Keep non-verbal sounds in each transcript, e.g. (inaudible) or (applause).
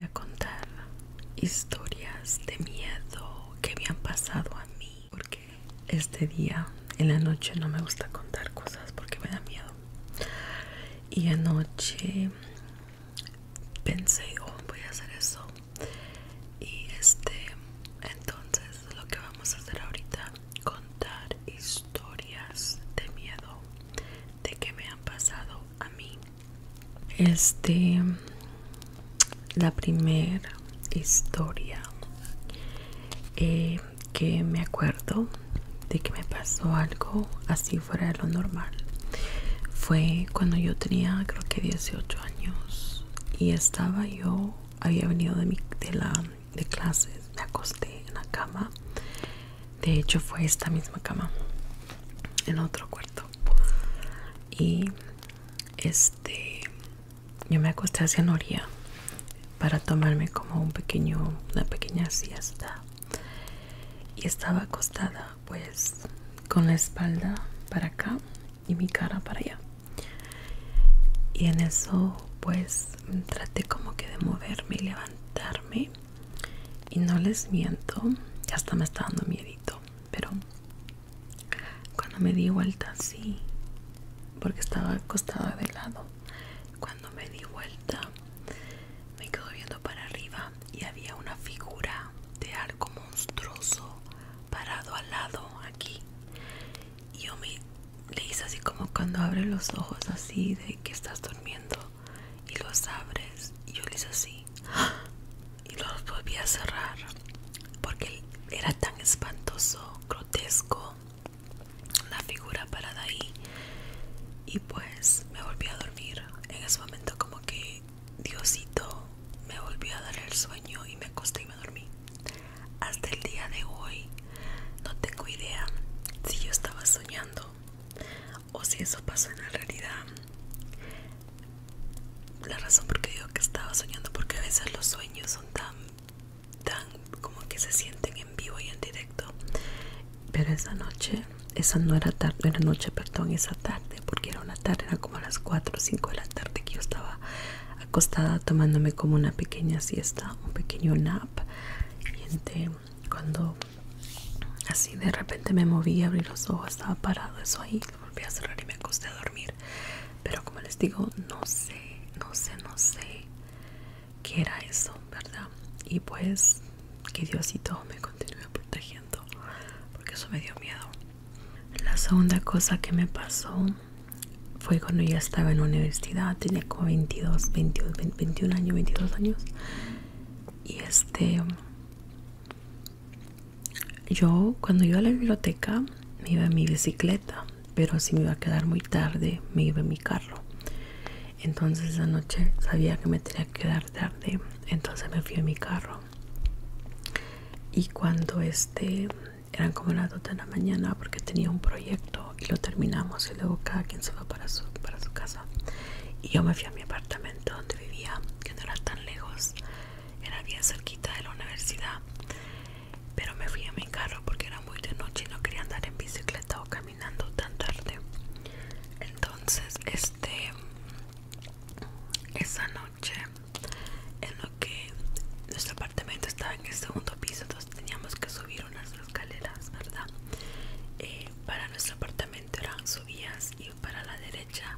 Voy a contar historias de miedo que me han pasado a mí porque este día en la noche no me gusta contar cosas porque me da miedo y anoche pensé oh voy a hacer eso y este entonces lo que vamos a hacer ahorita contar historias de miedo de que me han pasado a mí este la primera historia eh, que me acuerdo de que me pasó algo así fuera de lo normal fue cuando yo tenía creo que 18 años y estaba yo había venido de mi de la de clases me acosté en la cama de hecho fue esta misma cama en otro cuarto y este yo me acosté hacia Noría para tomarme como un pequeño una pequeña siesta y estaba acostada pues con la espalda para acá y mi cara para allá y en eso pues traté como que de moverme y levantarme y no les miento ya hasta me está dando miedito pero cuando me di vuelta así porque estaba acostada de lado cuando me di vuelta me quedo viendo para arriba y había una figura de algo monstruoso parado al lado aquí y yo me le hice así como cuando abres los ojos así de que estás durmiendo y los abres y yo le hice así y los volví a cerrar porque era tan espantoso grotesco la figura parada ahí y pues me volví a dormir en ese momento como que Diosito me volvió a dar el sueño y me acosté y me dormí. Hasta el día de hoy no tengo idea si yo estaba soñando o si eso pasó en la realidad. La razón por qué digo que estaba soñando porque a veces los sueños son tan, tan como que se sienten en vivo y en directo. Pero esa noche, esa no era tarde, no era noche, perdón, esa tarde porque era una tarde, era como a las 4 o 5 de la tarde que yo estaba acostada tomándome como una pequeña siesta, un pequeño nap. Y entré este, cuando así de repente me moví, abrí los ojos, estaba parado eso ahí, lo volví a cerrar y me acosté a dormir. Pero como les digo, no sé, no sé, no sé qué era eso, ¿verdad? Y pues que Diosito me continúe protegiendo, porque eso me dio miedo. La segunda cosa que me pasó fue cuando ya estaba en la universidad, tenía como 22, 22 21 años, 22 años. Y este, yo cuando iba a la biblioteca me iba en mi bicicleta, pero si me iba a quedar muy tarde me iba en mi carro. Entonces esa noche sabía que me tenía que quedar tarde, entonces me fui en mi carro y cuando este eran como las 2 de la mañana porque tenía un proyecto y lo terminamos y luego cada quien se para su, para su casa y yo me fui a mi apartamento donde vivía que no era tan lejos era bien cerquita de la universidad pero me fui a mi carro porque era muy de noche y no quería andar en bicicleta o caminando tan tarde entonces este esa noche en lo que nuestro apartamento estaba en el segundo piso entonces teníamos que subir unas escaleras verdad eh, para nuestro apartamento eran subidas y para la derecha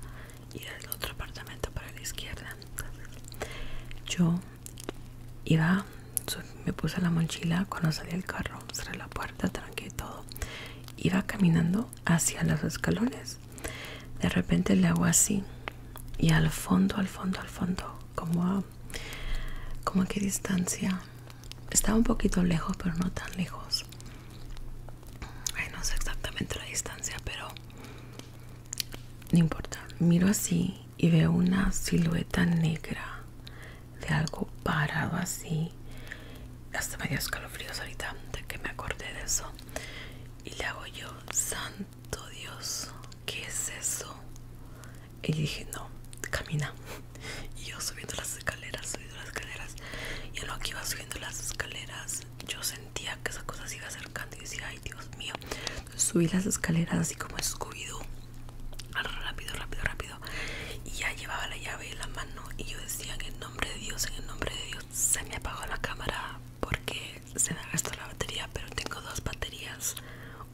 y del otro apartamento para la izquierda yo iba me puse la mochila cuando salí el carro cerré la puerta tranquilo y todo iba caminando hacia los escalones de repente le hago así y al fondo al fondo al fondo como a como qué distancia estaba un poquito lejos pero no tan lejos Ay, no sé exactamente la distancia pero no importa miro así y veo una silueta negra de algo parado así hasta me dio escalofríos ahorita de que me acordé de eso y le hago yo, santo Dios, ¿qué es eso? Y dije, no, camina. Y yo subiendo las escaleras, subiendo las escaleras. Y en lo que iba subiendo las escaleras, yo sentía que esa cosa se iba acercando y decía, ay Dios mío. subí las escaleras así como escubido. Rápido, rápido, rápido. Y ya llevaba la llave en la mano y yo decía, en el nombre de Dios, en el nombre de Dios se me apagó la cámara porque se me gastó la batería pero tengo dos baterías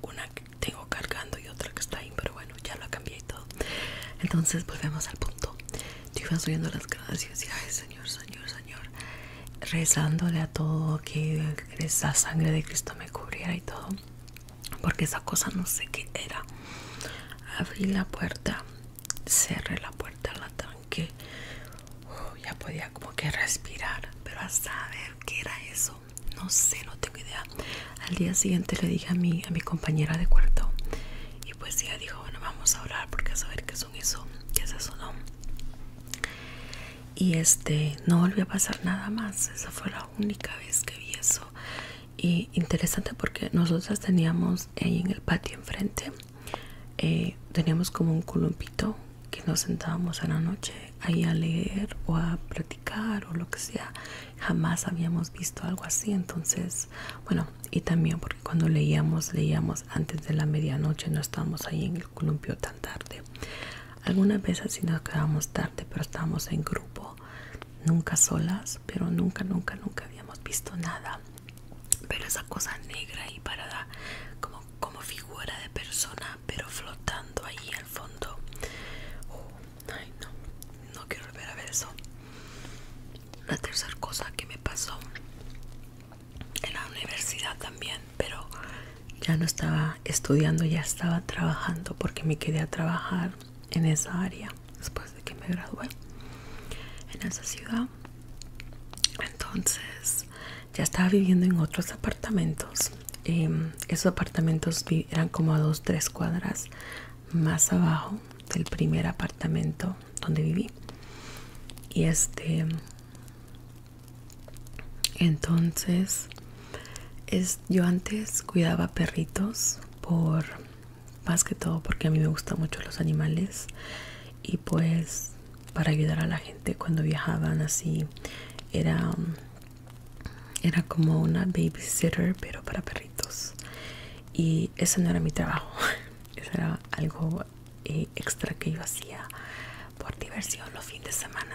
una que tengo cargando y otra que está ahí pero bueno ya lo cambié y todo entonces volvemos al punto yo iba subiendo las gracias y ay señor señor señor rezándole a todo que esa sangre de Cristo me cubriera y todo porque esa cosa no sé qué era abrí la puerta cerré la puerta, la tranqué. ya podía como que respirar, pero a saber qué era eso, no sé, no tengo idea. Al día siguiente le dije a mi, a mi compañera de cuarto y pues ella dijo, bueno, vamos a orar porque a saber qué son eso, qué es eso, no. Y este, no volvió a pasar nada más, esa fue la única vez que vi eso. Y interesante porque nosotras teníamos ahí en el patio enfrente eh, teníamos como un columpito que nos sentábamos a la noche ahí a leer o a practicar o lo que sea jamás habíamos visto algo así entonces bueno y también porque cuando leíamos leíamos antes de la medianoche no estábamos ahí en el columpio tan tarde algunas veces sí nos quedábamos tarde pero estábamos en grupo nunca solas pero nunca nunca nunca habíamos visto nada pero esa cosa negra y parada como, como figura de persona pero flotando ahí al fondo uh, ay no no quiero volver a ver eso la tercera cosa que me pasó en la universidad también pero ya no estaba estudiando ya estaba trabajando porque me quedé a trabajar en esa área después de que me gradué en esa ciudad entonces ya estaba viviendo en otros apartamentos. Em, esos apartamentos eran como a dos, tres cuadras más abajo del primer apartamento donde viví. Y este, entonces, yo antes cuidaba perritos por más que todo porque a mí me gustan mucho los animales y pues para ayudar a la gente cuando viajaban así era como una babysitter pero para perritos y eso no era mi trabajo (laughs) eso era algo eh, extra que yo hacía por diversión los fines de semana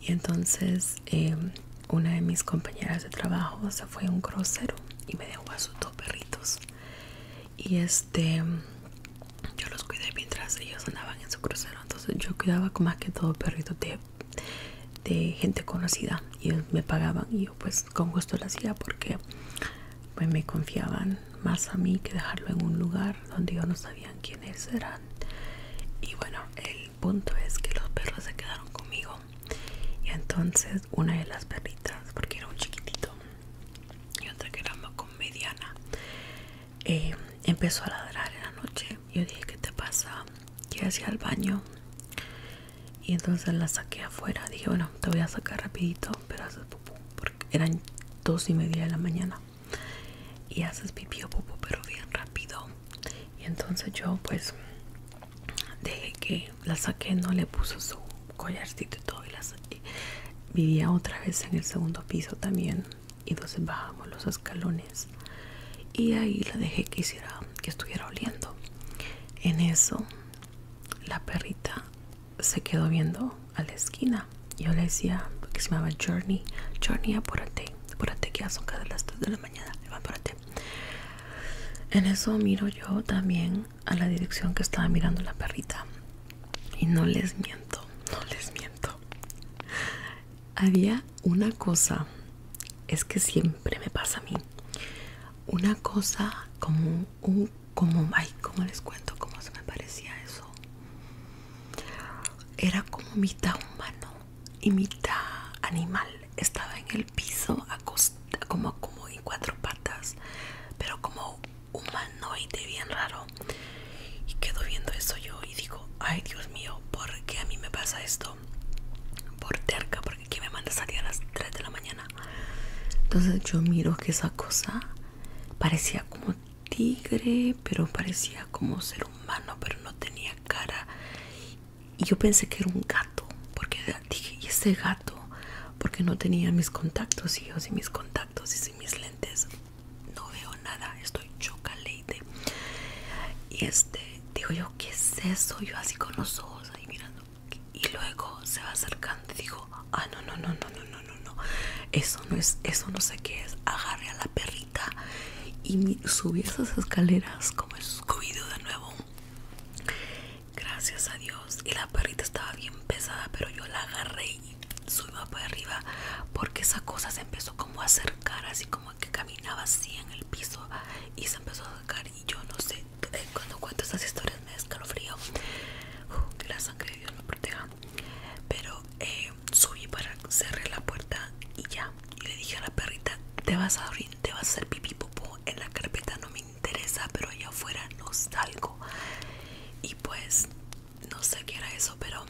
y entonces em, una de mis compañeras de trabajo se fue a un crucero y me dejó a sus dos perritos y este yo los cuidé mientras ellos andaban en su crucero entonces yo cuidaba como más que todo perritos de, gente conocida y ellos me pagaban y yo pues con gusto lo hacía porque pues me confiaban más a mí que dejarlo en un lugar donde yo no sabían quiénes eran y bueno el punto es que los perros se quedaron conmigo y entonces una de las perritas porque era un chiquitito y otra que era más comediana eh, empezó a ladrar en la noche yo dije qué te pasa que hacia el baño y entonces la saqué afuera dije bueno te voy a sacar rapidito pero haces porque eran dos y media de la mañana y haces pipí o pupú pero bien rápido y entonces yo pues dejé que la saqué no le puse su collarcito y todo y la vivía otra vez en el segundo piso también y entonces bajamos los escalones y ahí la dejé que que estuviera oliendo en eso la perrita se quedó viendo a la esquina yo le decía que se llamaba Journey Journey apúrate apúrate que ya son cada las 3 de la mañana apúrate en eso miro yo también a la dirección que estaba mirando la perrita. Y no les miento, no les miento. Había una cosa, es que siempre me pasa a mí, una cosa como un, como, ay, ¿cómo les cuento cómo se me parecía eso? Era como mitad humano y mitad animal. Estaba en el piso, como, como en cuatro patas, pero como humanoide bien raro y quedo viendo eso yo y digo ay Dios mío ¿por qué a mí me pasa esto? por terca porque aquí me manda salir a las 3 de la mañana entonces yo miro que esa cosa parecía como tigre pero parecía como ser humano pero no tenía cara y yo pensé que era un gato porque dije y ese gato porque no tenía mis contactos hijos y mis contactos entonces y sin mis lentes no veo nada, estoy chocaleite. Y este, digo yo, ¿qué es eso? Yo así con los ojos ahí mirando. Y luego se va acercando y digo, ah, no, no, no, no, no, no, no, no. Eso no es, eso no sé qué es. Agarré a la perrita y subí esas escaleras como escubido de nuevo. Gracias a Dios. Y la perrita estaba bien pesada, pero yo la agarré subí para arriba porque esa cosa se empezó como a acercar así como que caminaba así en el piso y se empezó a acercar y yo no sé eh, cuando cuento esas historias me escalofrío que la sangre de Dios me proteja pero eh, subí para cerrar la puerta y ya y le dije a la perrita te vas a abrir te vas a hacer pipi popo en la carpeta no me interesa, pero allá afuera no salgo. Y pues, no sé qué era eso, pero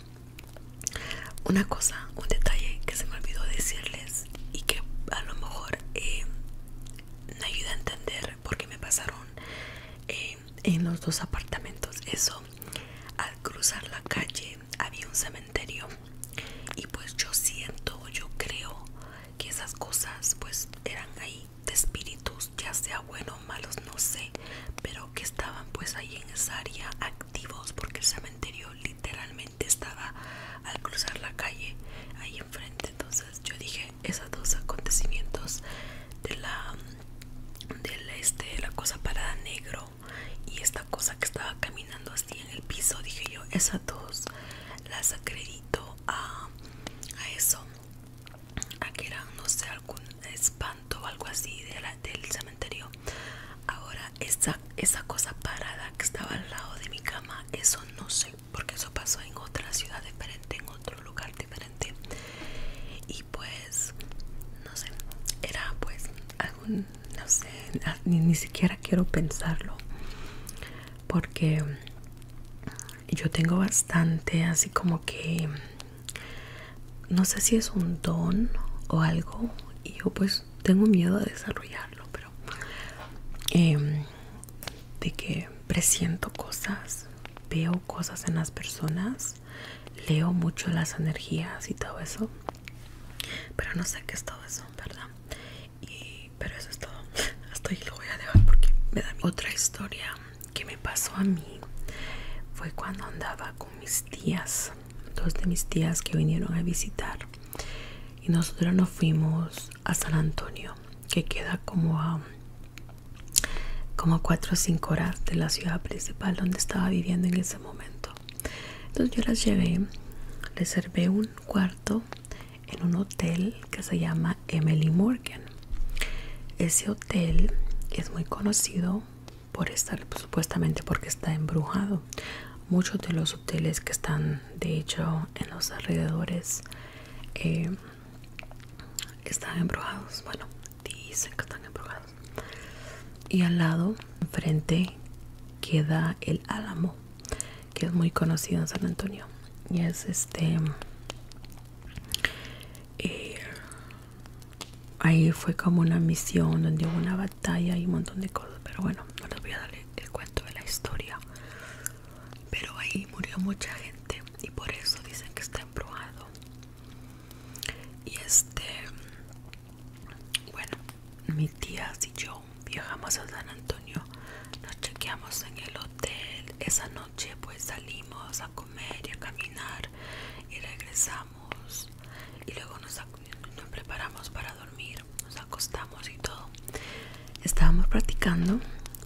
una cosa, un detalle que se me olvidó decirles y que a lo mejor eh, me ayuda a entender por qué me pasaron eh, en los dos apartamentos. Eso, al cruzar la calle había un cementerio y pues yo siento, yo creo que esas cosas pues eran ahí de espíritus, ya sea bueno o malos, no sé, pero que estaban pues ahí en esa área activos porque el cementerio literalmente estaba al cruzar la calle ahí enfrente. Entonces yo dije esos dos acontecimientos de la del este, la cosa parada negro y esta cosa que estaba caminando así en el piso, dije yo, esas dos las acredito a, a eso a que era no sé algún espanto o algo así de la, del cementerio ahora esa, esa cosa parada que estaba al lado de mi cama eso no sé porque eso pasó en otra ciudad diferente en otro lugar diferente y pues no sé era pues algún no sé ni siquiera quiero pensarlo porque yo tengo bastante así como que no sé si es un don o algo y yo pues tengo miedo de desarrollarlo pero em, de que presiento cosas veo cosas en las personas leo mucho las energías y todo eso pero no sé qué es todo eso verdad y, pero eso es todo (laughs) hasta ahí lo voy a dejar porque me da otra historia que me pasó a mí fue cuando andaba con mis tías, dos de mis tías que vinieron a visitar y nosotros nos fuimos a San Antonio, que queda como a como 4 o cinco horas de la ciudad principal donde estaba viviendo en ese momento. Entonces yo las llevé, reservé un cuarto en un hotel que se llama Emily Morgan. Ese hotel es muy conocido por estar pues, supuestamente porque está embrujado. Muchos de los hoteles que están de hecho en los alrededores eh, están embrujados. Bueno, dicen que están embrujados. Y al lado, enfrente, queda el Álamo, que es muy conocido en San Antonio. Y es este eh, ahí fue como una misión donde hubo una batalla y un montón de cosas pero bueno no les voy a dar el cuento de la historia pero ahí murió mucha gente y por eso dicen que está embrujado y este bueno mi tía y yo viajamos a San Antonio nos chequeamos en el hotel esa noche pues salimos a comer y a caminar y regresamos y luego nos, preparamos para dormir, nos acostamos y todo. Estábamos practicando,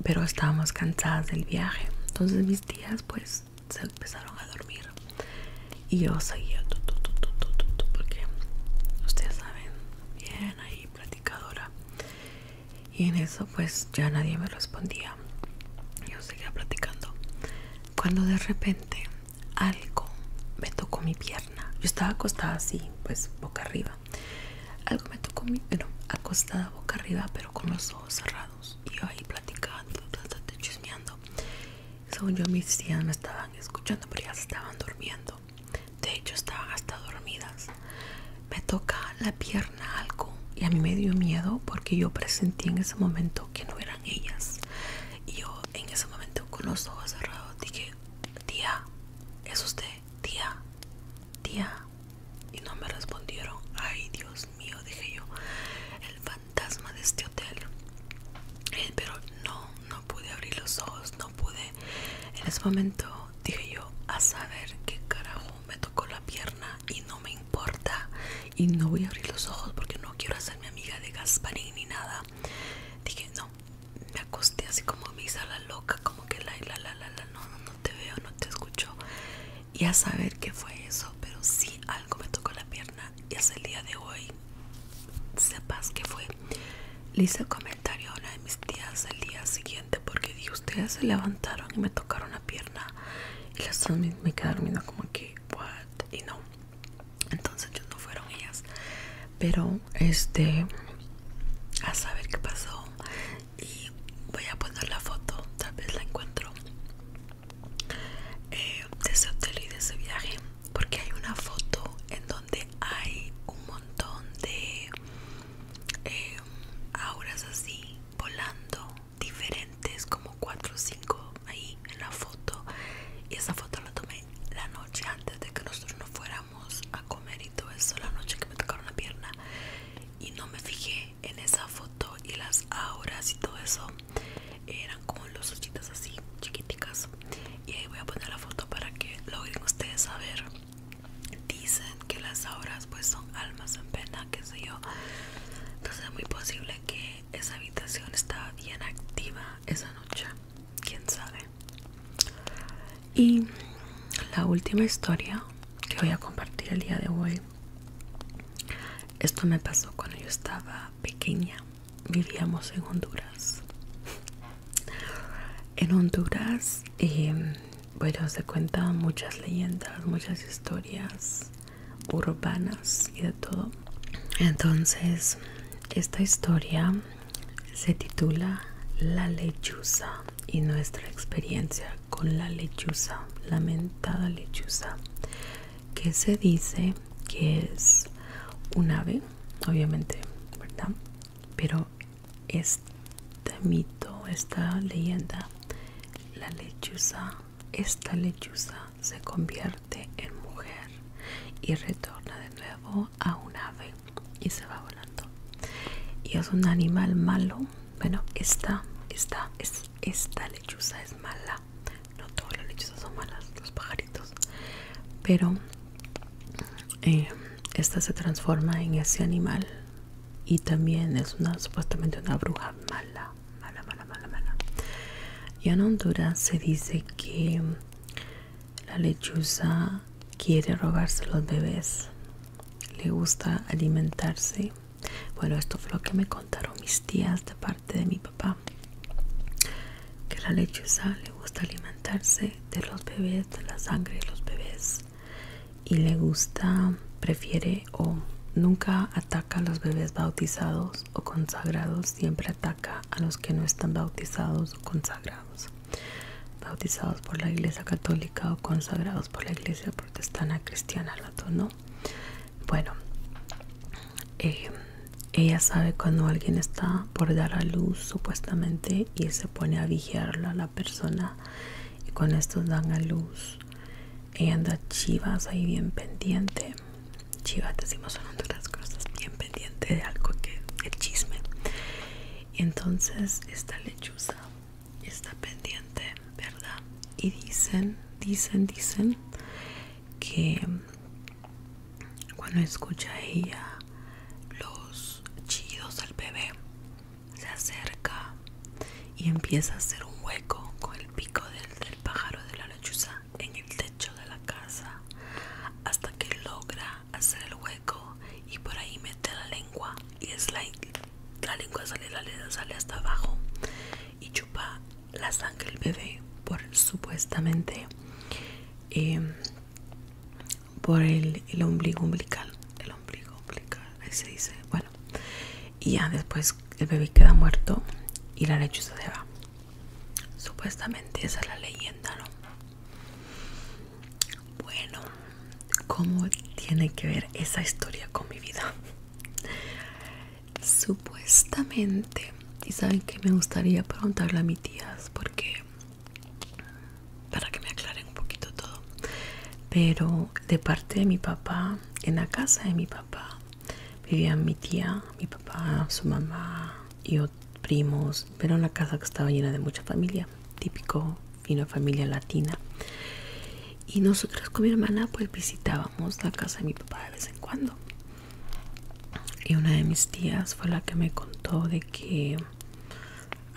pero estábamos cansadas del viaje. Entonces mis tías pues se empezaron a dormir y yo seguía porque ustedes saben, bien ahí y en eso pues ya nadie me respondía yo seguía platicando cuando de repente algo me tocó mi pierna yo estaba acostada así pues boca arriba algo me tocó mi pero acostada boca arriba pero con los ojos cerrados y yo ahí platicando chismeando según yo mis tías me estaban escuchando pero ya estaban durmiendo de hecho estaban hasta dormidas me toca la pierna algo y a mí me dio miedo porque yo presentí en ese momento que no eran ellas y yo en ese momento con los ojos cerrados dije tía es usted tía tía y no me respondieron ay dios mío dije yo el fantasma de este hotel eh, pero no no pude abrir los ojos no pude en ese momento dije yo a saber qué carajo me tocó la pierna y no me importa y no voy a abrir los ojos porque no quiero hacerme amiga de Gasparín ni nada. Dije, no, me acosté así como misa la loca, como que la, la, la, la, la, no, no, te veo, no te escucho. Y a saber qué fue eso, pero sí algo me tocó la pierna y hasta el día de hoy, sepas qué fue. Le hice comentario a una de mis tías el día siguiente porque dije ustedes se levantaron y me tocaron la pierna y las dos me quedaron viendo como que what y no entonces ellos no fueron ellas pero este a saber qué pasó y voy a poner la foto tal vez la encuentro eh, de ese hotel y de ese viaje porque hay una foto en donde hay un montón de eh, auras así volando diferentes, como 4 o 5 ahí en la foto. Y esa foto la tomé la noche antes de que nosotros nos fuéramos a comer y todo eso, la noche que me tocaron la pierna. Y no me fijé en esa foto y las auras y todo eso. Eran como los ochitas así, chiquiticas. Y ahí voy a poner la foto para que logren ustedes a ver Dice que las obras pues son almas en pena, que sé yo. Entonces es muy posible que esa habitación estaba bien activa esa noche, quién sabe. Y la última historia que voy a compartir el día de hoy. Esto me pasó cuando yo estaba pequeña. Vivíamos en Honduras. En Honduras eh, bueno, se cuentan muchas leyendas, muchas historias urbanas y de todo. Entonces, esta historia se titula La lechuza y nuestra experiencia con la lechuza, lamentada lechuza, que se dice que es un ave, obviamente, ¿verdad? Pero es te mito, esta leyenda, la lechuza, esta lechuza se convierte en mujer y retorna de nuevo a un ave y se va volando. Y es un animal malo. Bueno, esta, esta, es, esta lechuza es mala. No todas las lechuzas son malas, los pajaritos. Pero eh, esta se transforma en ese animal y también es una supuestamente una bruja mala, mala, mala, mala, mala. Y en Honduras se dice que la lechuza quiere robarse los bebés, le gusta alimentarse. Bueno, esto fue lo que me contaron mis tías de parte de mi papá. Que la lechuza le gusta alimentarse de los bebés, de la sangre de los bebés y le gusta, prefiere o nunca ataca a los bebés bautizados o consagrados, siempre ataca a los que no están bautizados o consagrados, bautizados por la iglesia católica o consagrados por la iglesia protestana cristiana, ¿no? Bueno, eh, ella sabe cuando alguien está por dar a luz supuestamente y se pone a vigilar a la persona y con estos dan a luz ella anda chivas ahí bien pendiente chivas decimos en otras cosas bien pendiente de algo que el chisme y entonces esta lechuza está pendiente verdad y dicen dicen dicen que cuando escucha ella los chidos del bebé se acerca y empieza a hacer un hueco con el pico del, pájaro de la lechuza en el techo de la casa hasta que logra hacer el hueco y por ahí mete la lengua y es la, la lengua sale, la lengua sale hasta abajo y chupa la sangre del bebé por supuestamente em, por el, el ombligo umbilical el ombligo umbilical ahí se dice bueno y ya después el bebé queda muerto y la lechuza se va. Supuestamente esa es la leyenda, ¿no? Bueno, ¿cómo tiene que ver esa historia con mi vida? Supuestamente, y saben que me gustaría preguntarle a mi tías porque para que me aclare un poquito todo pero de parte de mi papá en la casa de mi papá vivían mi tía mi papá su mamá y otros primos pero en la casa que estaba llena de mucha familia típico una familia latina y nosotros con mi hermana pues visitábamos la casa de mi papá de vez en cuando y una de mis tías fue la que me contó de que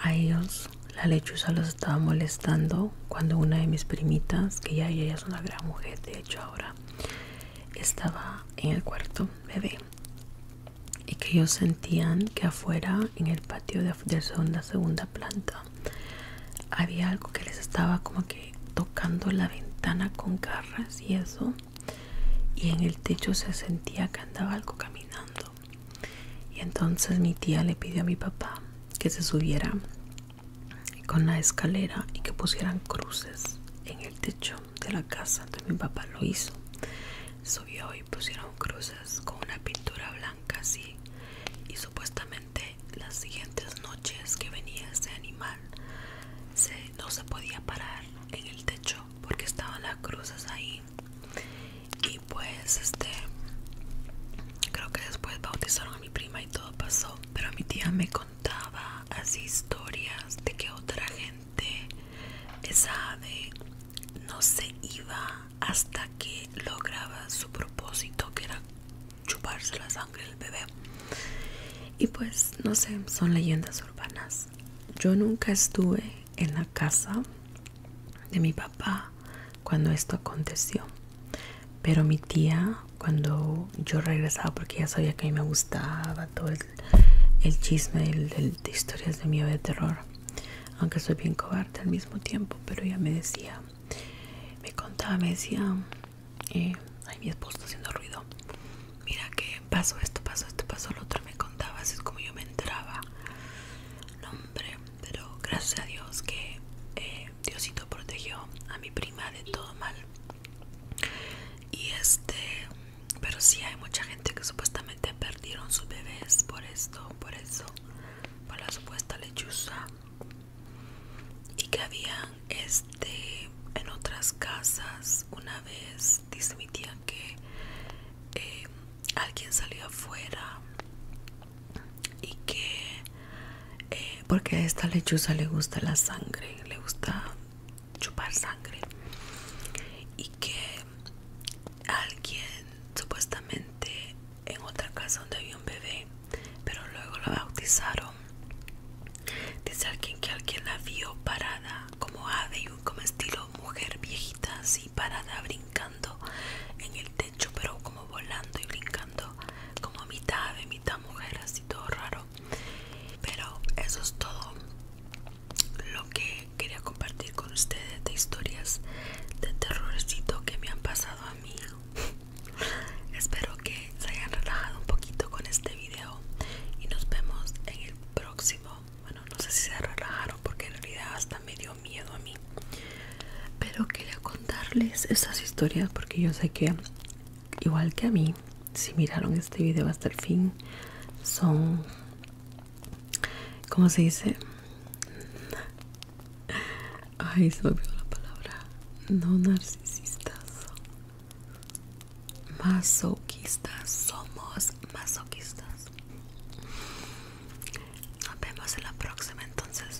a ellos la lechuza los estaba molestando cuando una de mis primitas, que ya ella es una gran mujer, de hecho ahora, estaba en el cuarto bebé y que ellos sentían que afuera, en el patio de, de segunda, segunda planta, había algo que les estaba como que tocando la ventana con garras y eso y en el techo se sentía que andaba algo caminando y entonces mi tía le pidió a mi papá que se subiera con la escalera y que pusieran cruces en el techo de la casa. Entonces mi papá lo hizo. Subió y pusieron cruces con una pintura blanca así. Y supuestamente las siguientes noches que venía ese animal no se podía parar en el techo porque estaban las cruces ahí y pues este creo que después bautizaron a mi prima y todo pasó pero mi tía me contaba así historias de que otra gente esa ave no se iba hasta que lograba su propósito que era chuparse la sangre del bebé y pues no sé son leyendas urbanas yo nunca estuve en la casa de mi papá cuando esto aconteció. Pero mi tía, cuando yo regresaba, porque ya sabía que a mí me gustaba todo el, chisme de historias de miedo y de terror, aunque soy bien cobarde al mismo tiempo, pero ella me decía, me contaba, me decía, eh, ay, mi esposo haciendo ruido, mira que pasó esto, pasó esto, pasó lo otro, me contaba, así es como yo me entraba. No, hombre, pero gracias a Dios que eh, Diosito protegió a mi prima de todo mal. Y este, pero sí hay mucha gente que supuestamente perdieron sus bebés por esto, por eso, por la supuesta lechuza. Y que habían este en otras casas una vez dismitían que eh, alguien salió afuera y que eh, porque a esta lechuza le gusta la sangre le gusta chupar sangre y que alguien supuestamente en otra casa donde había un bebé pero luego lo bautizaron dice alguien que alguien la vio parada como ave y como estilo mujer viejita así parada brincando en el hecho, pero como volando y brincando, como mitad ave, mitad mujer, así todo raro. Pero eso es todo lo que quería compartir con ustedes de historias de terrorcito que me han pasado a mí. (laughs) Espero que se hayan relajado un poquito con este video y nos vemos en el próximo. Bueno, no sé si se relajaron porque en realidad hasta me dio miedo a mí pero quería contarles esas historias porque yo sé que igual que a mí si miraron este video hasta el fin son ¿cómo se dice? (laughs) ay se me olvidó la palabra no narcisistas masoquistas somos masoquistas nos vemos en la próxima entonces